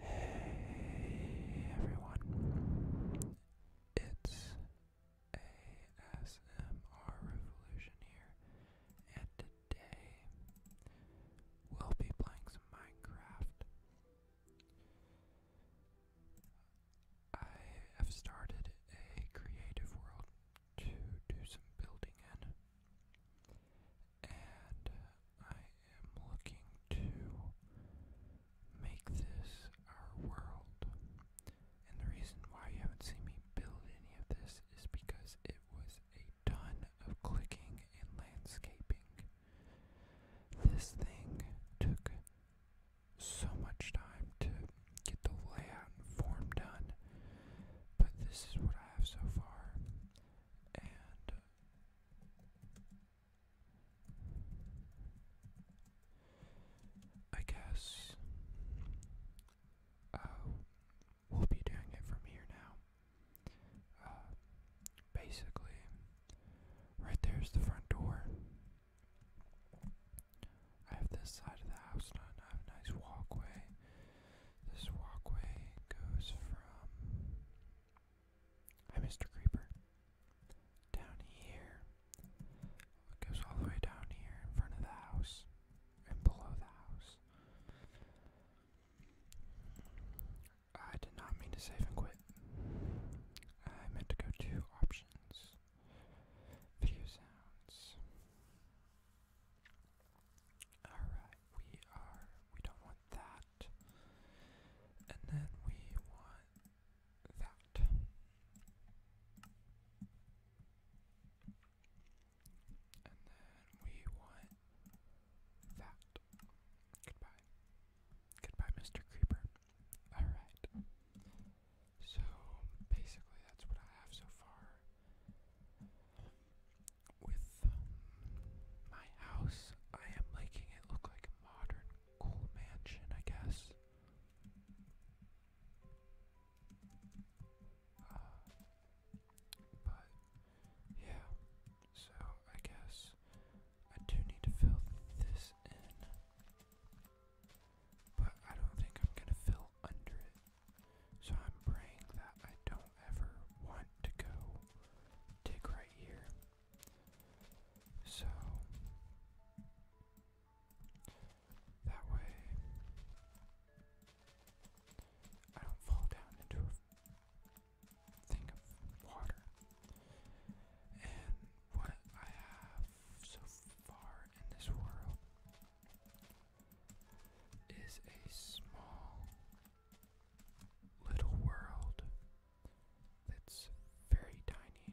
Hey everyone, it's ASMR Revolution here, and today we'll be playing some Minecraft. I have started a creative world to do some building in, and I am looking to make this our world. And the reason why you haven't seen me build any of this is because it was a ton of clicking and landscaping. This thing took so much time to get the layout and form done, but this is what I have so far, and I guess uh, we'll be doing it from here now. Uh, basically, right there's the front door. I have this side of the house done. I have a nice walkway. This walkway goes from Hi, Mr. Creeper. Down here. It goes all the way down here in front of the house and below the house. I did not mean to save and quit. I meant to go to options, video sounds. Alright, we are, we don't want that. And then we want that. And then we want that. Goodbye. Goodbye, Mr. Creeper. Alright. So basically that's what I have so far with um, my house. I am making it look like a modern, cool mansion, I guess. Uh, but yeah, so I guess I do need to fill this in, but I don't think I'm gonna fill under it. So I'm praying that I don't ever want to go dig right here. So that way I don't fall down into a thing of water. And what I have so far in this world is a small little world that's very tiny.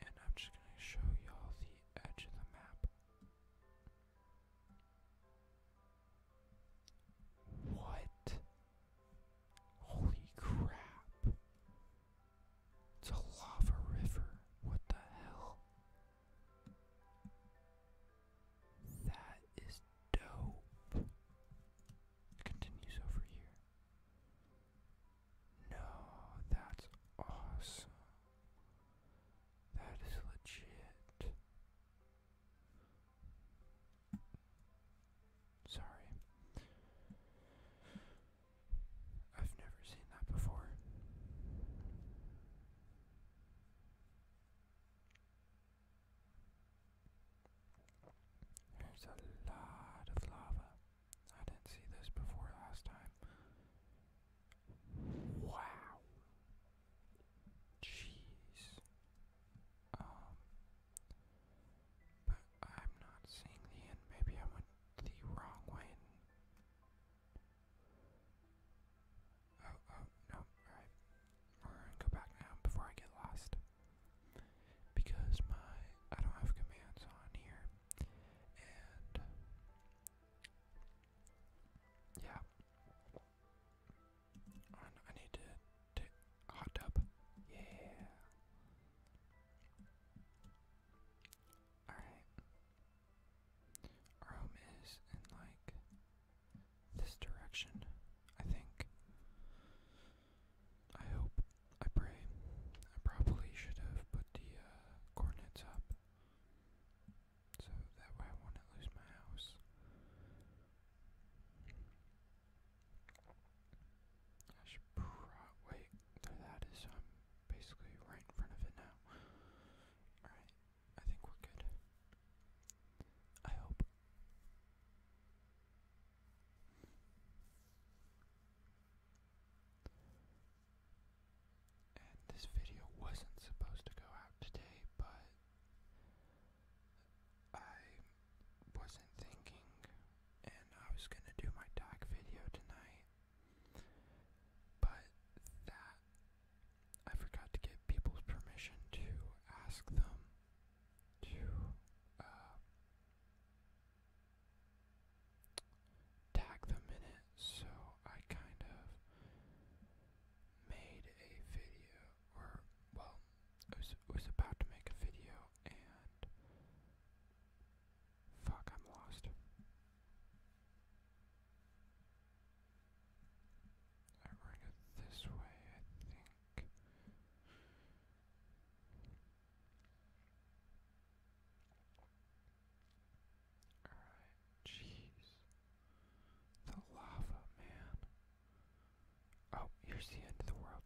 And I'm just going to show y'all the edge of the map. What? Holy crap. It's a lava river. What the hell? That is dope. continues over here. No, that's awesome. That is legit. Sorry. I've never seen that before. There's a lot of lava. I didn't see this before last time. Wow. Jeez. Um, but I'm not seeing the end. Maybe I went the wrong way Oh, oh, no, alright. go back now before I get lost. Because my I don't have commands on here. And yeah. I, need to take hot tub. Yeah. Alright. Our home is in like this direction, I think. I hope. I pray. I probably should have put the uh, coordinates up. So that way I wouldn't lose my house. I should pro- wait, that is, um, basically right in front of it now. Alright, I think we're good. I hope. this video wasn't supposed to go out today, but I wasn't thinking, and I was gonna do my dog video tonight, but that I forgot to get people's permission to ask them to uh, tag them in it, so I kind of made a video, or well, was was about to make a video and Fuck, I'm lost. I'm going this way, I think. Alright, jeez. The lava, man. Oh, here's the end of the world.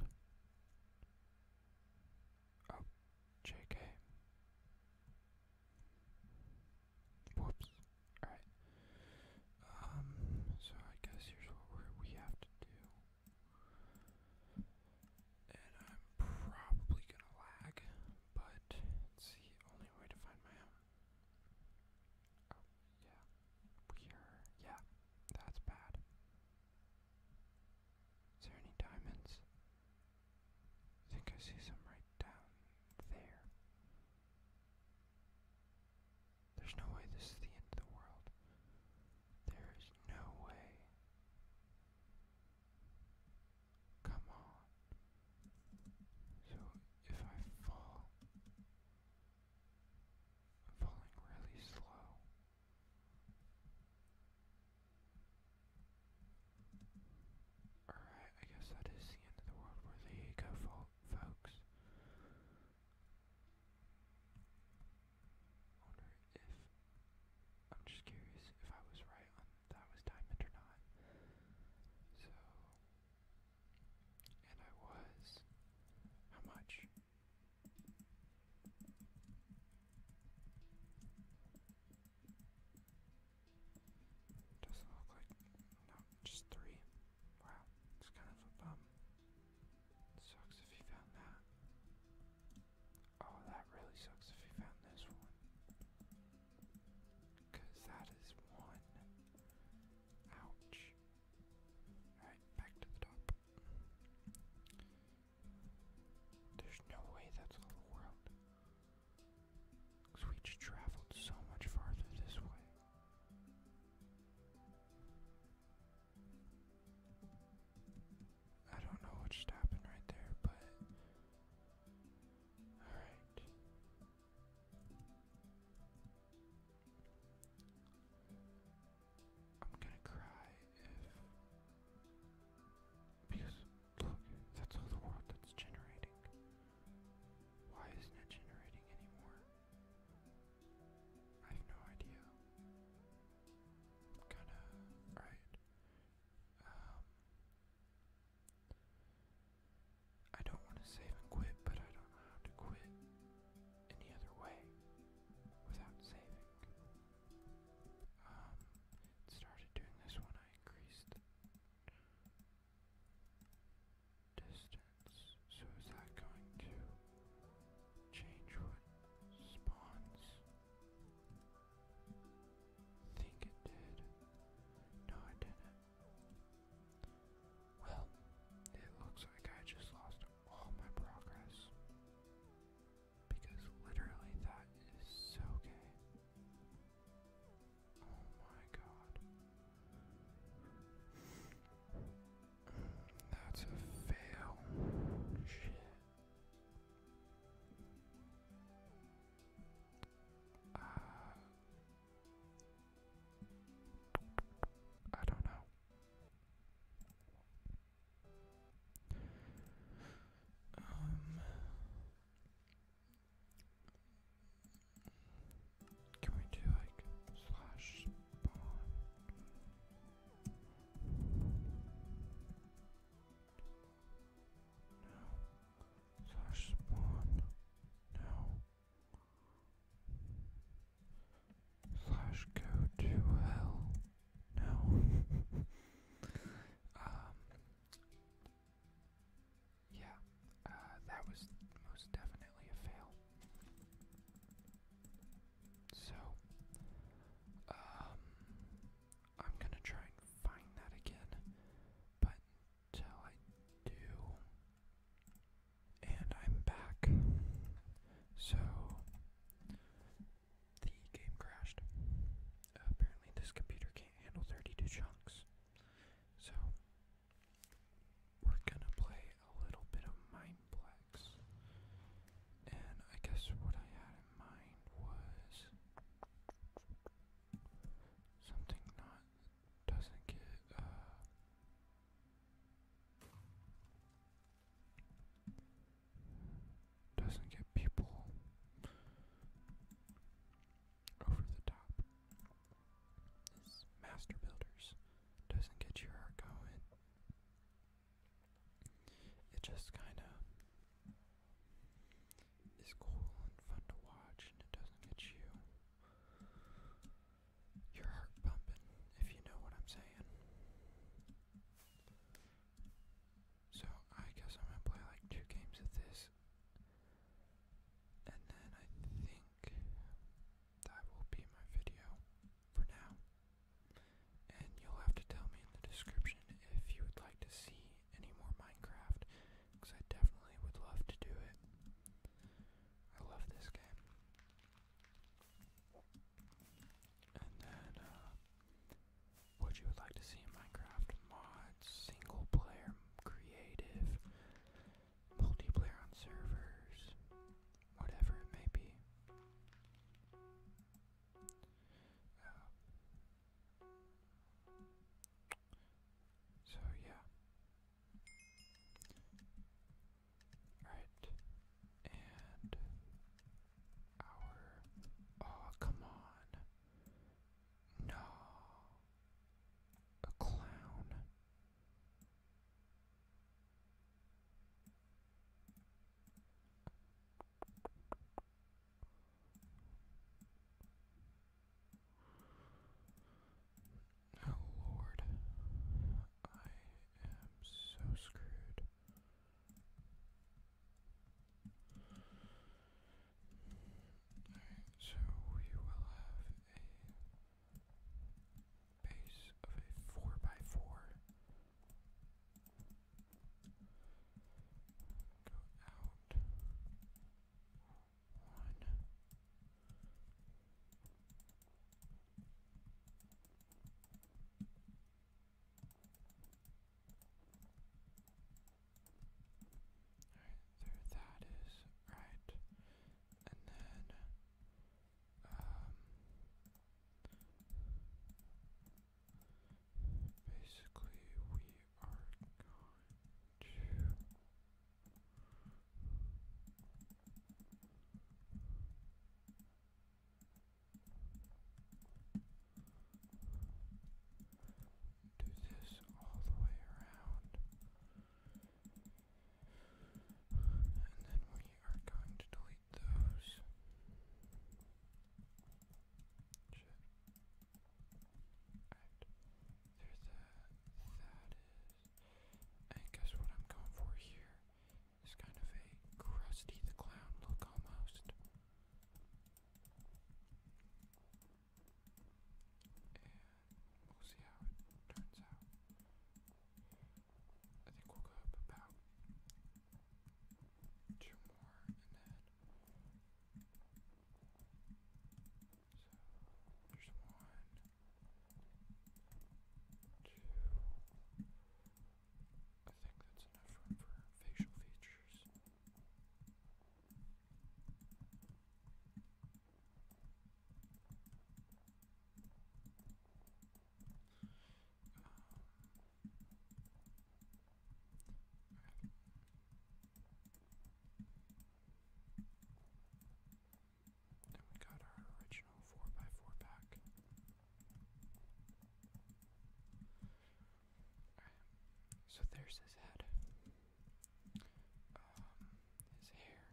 Oh, JK. Whoops. Alright. Um, so I guess here's what we have to do. And I'm probably gonna lag, but it's the only way to find my Oh, yeah. We're, yeah, that's bad. Is there any diamonds? I think I see some right down there. There's no way this is the end of the world. There is no way. Come on. So if I fall, I'm falling really slow. Alright, I guess that is the end of the world where the go, fo folks. Wonder if I'm just curious if I was right that was diamond or not. So, and I was. How much? Doesn't look like no, just three. Wow, it's kind of a bum. Sucks if you found that. Oh, that really sucks if you found this one. Cause that is one. Ouch. Alright, back to the top. There's no way that's all the world. Because we just traveled so much farther this way. I don't know what just happened right there, but. Alright. I'm gonna cry if because look, that's all the world that's generating. Why isn't it generating anymore? I have no idea. Kinda right. Um, I don't want to save and quit, but I don't know how to quit any other way without saving um, started doing this when I increased distance. So is that going to change what spawns? Think it did. No, it didn't. Well, it looks like I just lost all my progress. Because literally that is so gay. Oh my god. That's a fail. Shit. Uh, I don't know. Um, can we do like slash spawn? No. Slash spawn. No. Slash go to hell. No. Um, yeah, uh, that was most definitely a fail. So, um, I'm gonna try and find that again, but until I do, and I'm back. So, the game crashed. apparently, this computer can't handle 32 chunks. So, we're gonna play a little bit of Mindplex. And I guess what I had in mind was something not doesn't get uh, doesn't get people over the top. master builders doesn't get your heart going. It just kind of is cool and fun to watch, and it doesn't get you your heart pumping, if you know what I'm saying. So I guess I'm gonna play like two games of this. And then I think that will be my video for now. And you'll have to tell me in the description if you would like to see any more Minecraft, because I definitely would love to do it. I love this game and then uh, what you would like to see in Minecraft mods, single player, creative, multiplayer on servers, whatever it may be. Uh, so yeah. Alright, and Oh, come on. No. A clown. Oh Lord, I am so screwed. Alright, so we will have a base of a 4 by 4 Go out one. Alright, there that is right. And then um basically we are going to do this all the way around. And then we are going to delete those. There's that. That is. And guess what I'm going for here? It's kind of a crusty the clown look almost. And we'll see how it turns out. I think we'll go up about two more and then so there's one, two, I think that's enough room for facial features. Um, we got our original 4x4 pack so there's his head. Um, his hair.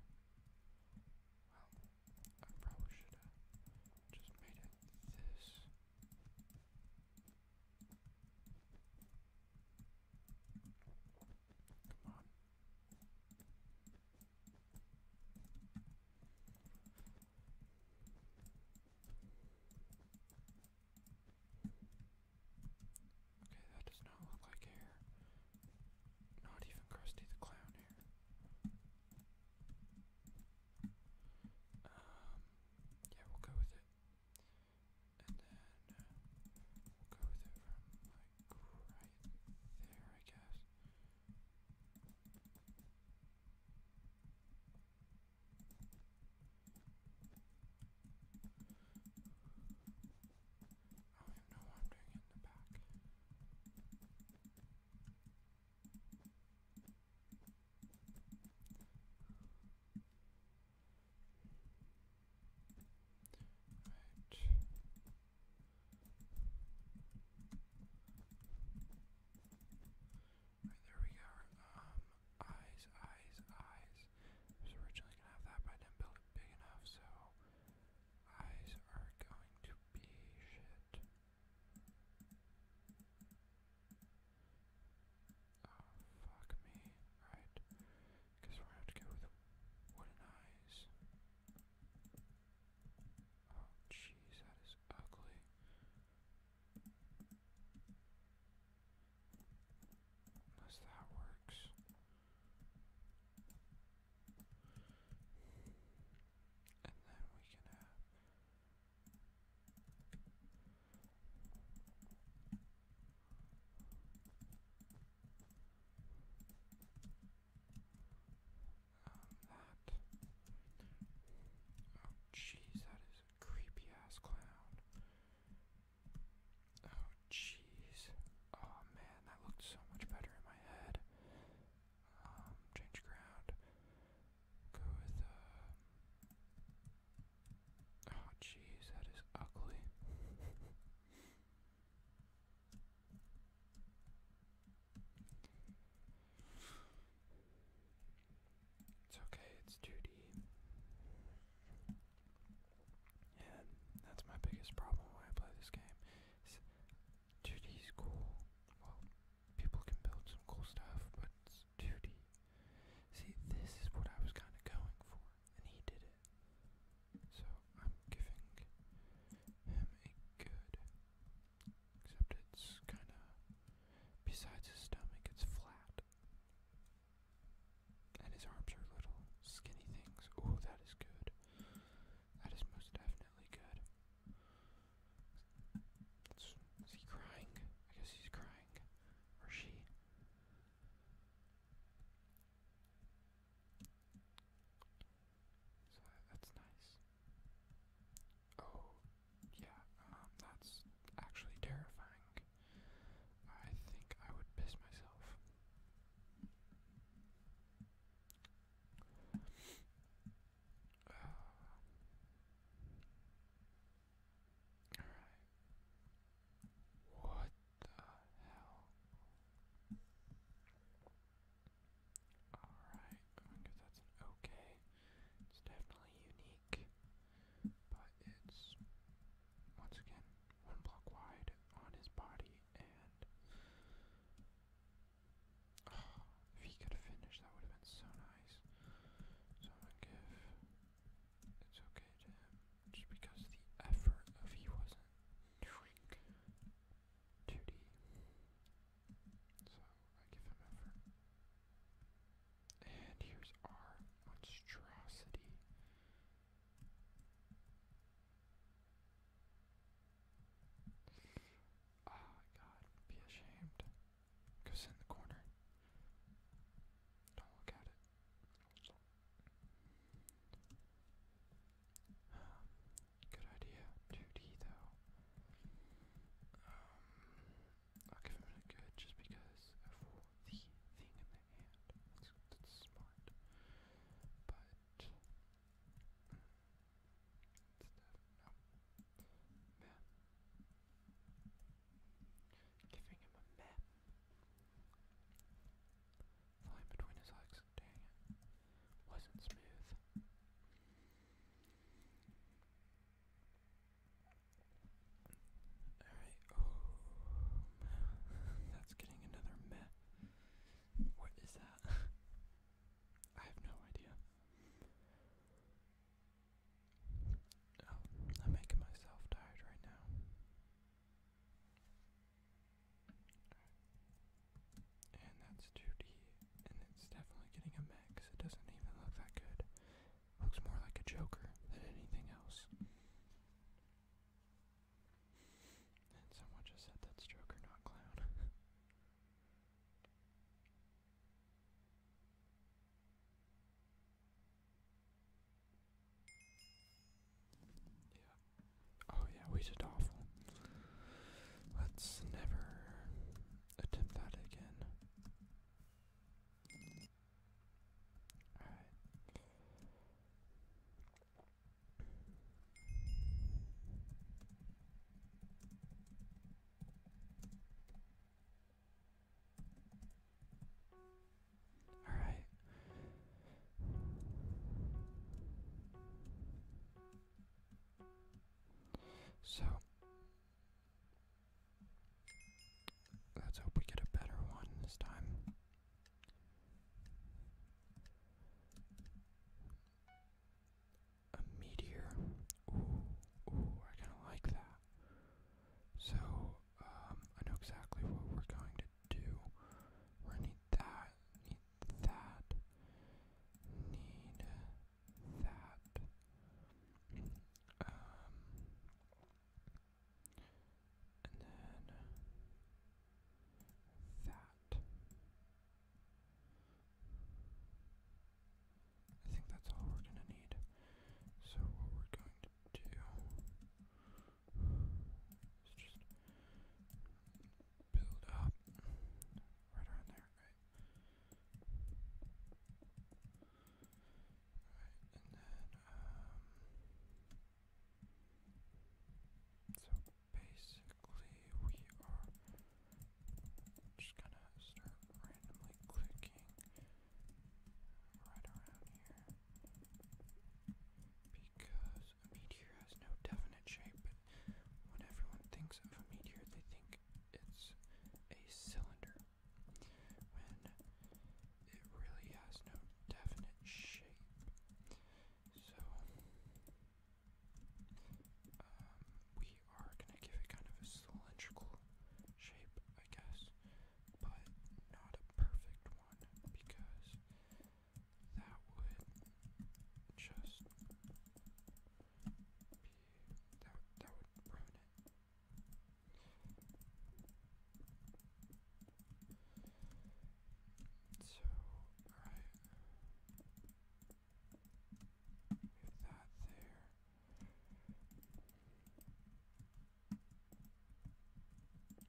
Well, I probably should have just made it this. Okay, that does not look like hair. Not even Krusty the Clown hair. Um, yeah, we'll go with it. And then uh, we'll go with it from like right there, I guess. Oh, I don't even know what I'm doing in the back. Right. Right, there we go. Um, eyes, eyes, eyes. was originally gonna have that, but I didn't build it big enough, so eyes are going to be shit. Oh, fuck me. Alright. Guess we're gonna have to go with wooden eyes. Oh, jeez, that is ugly. Unless that works. And then we can have. Oh, jeez, that is a creepy ass clown. Oh, jeez. Oh man, that looked so much better in my head. Um, change ground. Go with, uh, Oh, jeez, that is ugly. It's okay, it's 2D. Yeah, that's my biggest problem when I play this game. 2D is cool. Well, people can build some cool stuff, but it's 2D. See, this is what I was kind of going for, and he did it. So I'm giving him a good Except it's kinda besides his stomach, it's flat. And his arms are little skinny things. Oh, that is good. That is most definitely good. is he crying? I guess he's crying. Or she. So that's nice. Oh, yeah, um, that's actually terrifying. I think I would piss myself. Uh, alright. What the hell? Alright, I guess that's okay. It's definitely unique, but it's once again one block wide on his body, and if he could have finished, that would have been so nice. So I'm gonna give it's okay just because the effort of he wasn't 2D so I give him effort. And here's our monstrosity. Ah, God, be ashamed. Goes in the corner. Don't look at it. Good idea. 2D though. Um, I'll give him a good just because of the thing in the hand. That's, smart. But. Mm, it's no. Oh, meh. Giving him a meh. Flying between his legs. Dang it. Wasn't smooth. Alright. Oh, that's getting another meh. What is that? I have no idea. Oh, I'm making myself tired right now. And that's 2D, and it's definitely getting a max. It doesn't even look that good. Looks more like a Joker than anything else. And someone just said that's Joker, not Clown. yeah. Oh yeah, we did awful. Let's never attempt that again. Alright. All right. So let's hope we get a better one this time. A meteor. Ooh, ooh, I kinda like that. So, um, I know exactly what we're going to do. we need that, that, need that. Um, and then that. I think that's all we're going to need. So, what we're going to do is just build up right around there, right? Alright, and then, um, so basically we are just gonna start randomly clicking right around here because a meteor has no definite shape, but when everyone thinks of a meteor, they think it's a cylinder. When it really has no definite shape. So, um, we are gonna give it kind of a cylindrical shape, I guess, but not a perfect one because that would just be that that would ruin it. So, alright. We that there.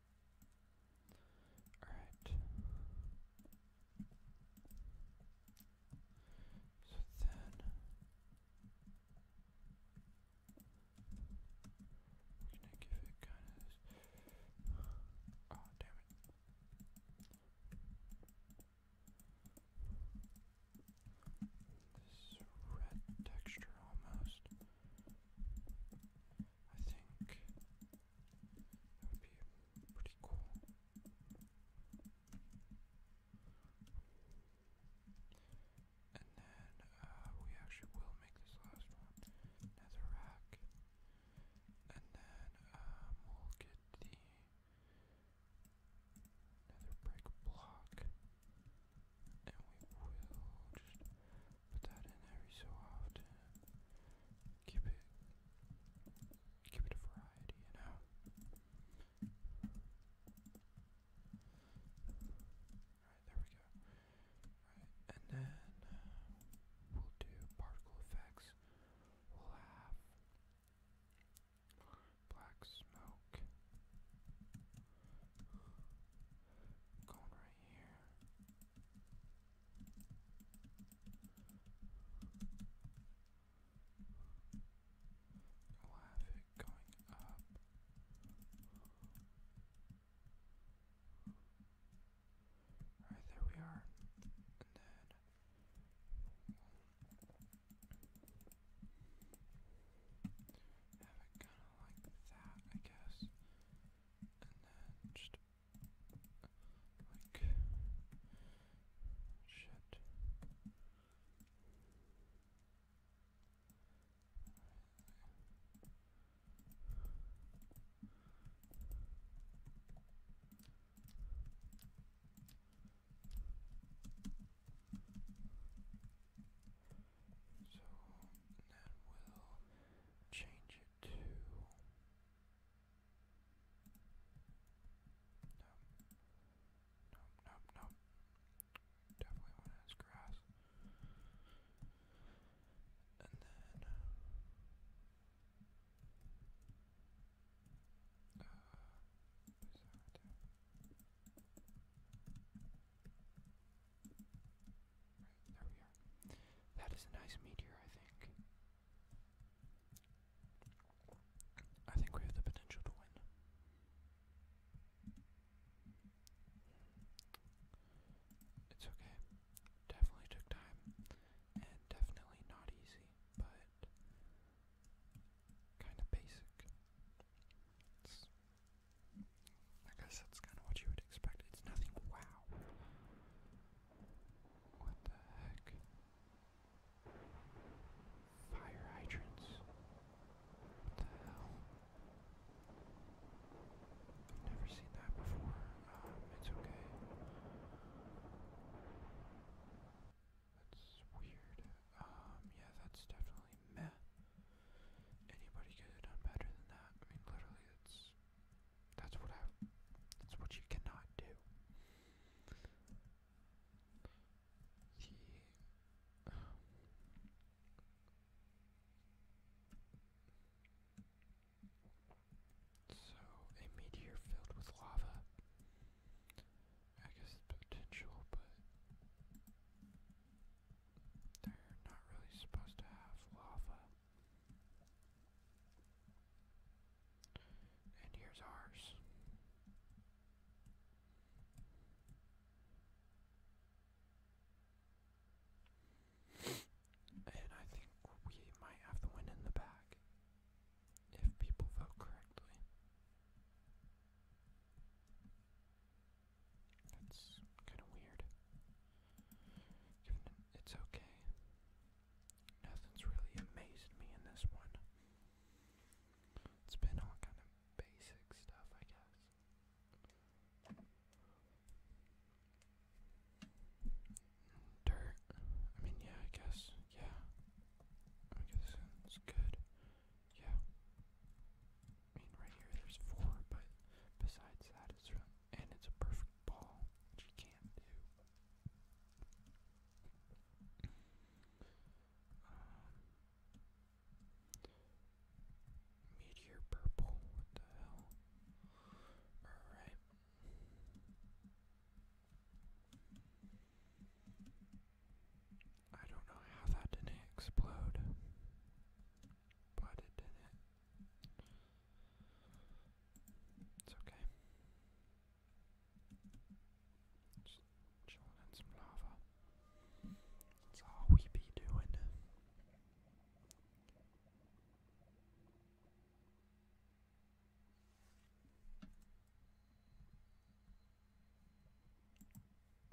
All right. So then we're gonna give it kind of this. Oh damn it. This red texture almost. I think that would be pretty cool. And then uh, we actually will make this last one, nether rack. And then um, we'll get the nether brick block and we will just put that in every so often. Keep it, keep it variety, you know. Alright, there we go. Alright, and then uh, we'll do particle effects. We'll have black smoke. Going right here. You'll have it going up. Alright, there we are. And then have it kind of like that, I guess. And then just like shit. Right so then we'll change it to Nope. Nope, nope, nope. Definitely want to grass. And then uh, that is a nice meteor, I think. I think we have the potential to win. It's okay. Definitely took time, and definitely not easy, but kind of basic. I guess that's kind of what you would expect. It's nothing wow. What the heck? Fire hydrants. What the hell? I've never seen that before. Um, it's okay. That's weird. Um, yeah, that's definitely meh. Anybody could have done better than that. I mean, literally, it's that's what I. That's what you cannot do. so, a meteor filled with lava. I guess potential, but they're not really supposed to have lava. And here's ours. And I think we might have the win in the back if people vote correctly. That's kind of weird. it's okay. Nothing's really amazed me in this one. It's been all kind of basic stuff, I guess. Dirt. I mean, yeah, I guess. Yeah. I guess it's good. Yeah mean, right here there's four, but besides that, it's really, and it's a perfect ball, which you can't do. Um, meteor purple, what the hell? Alright. I don't know how that didn't explode, but it didn't. It's okay. Just chilling in some lava. That's all we be doing.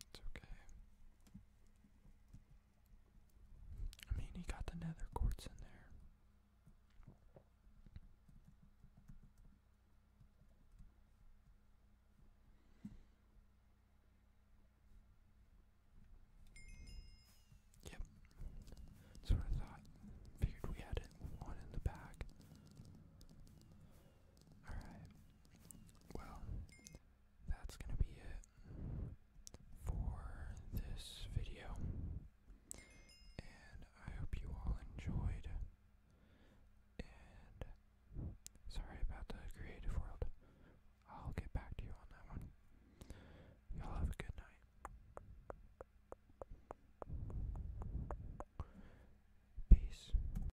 It's okay. I mean, he got the nether quartz in there. Yep, that's what thought. Figured we had one in the back. Alright. Well, that's going to be it for this video. And I hope you all enjoyed. And sorry about the creative world. I'll get back to you on that one. Y'all have a good night. Peace.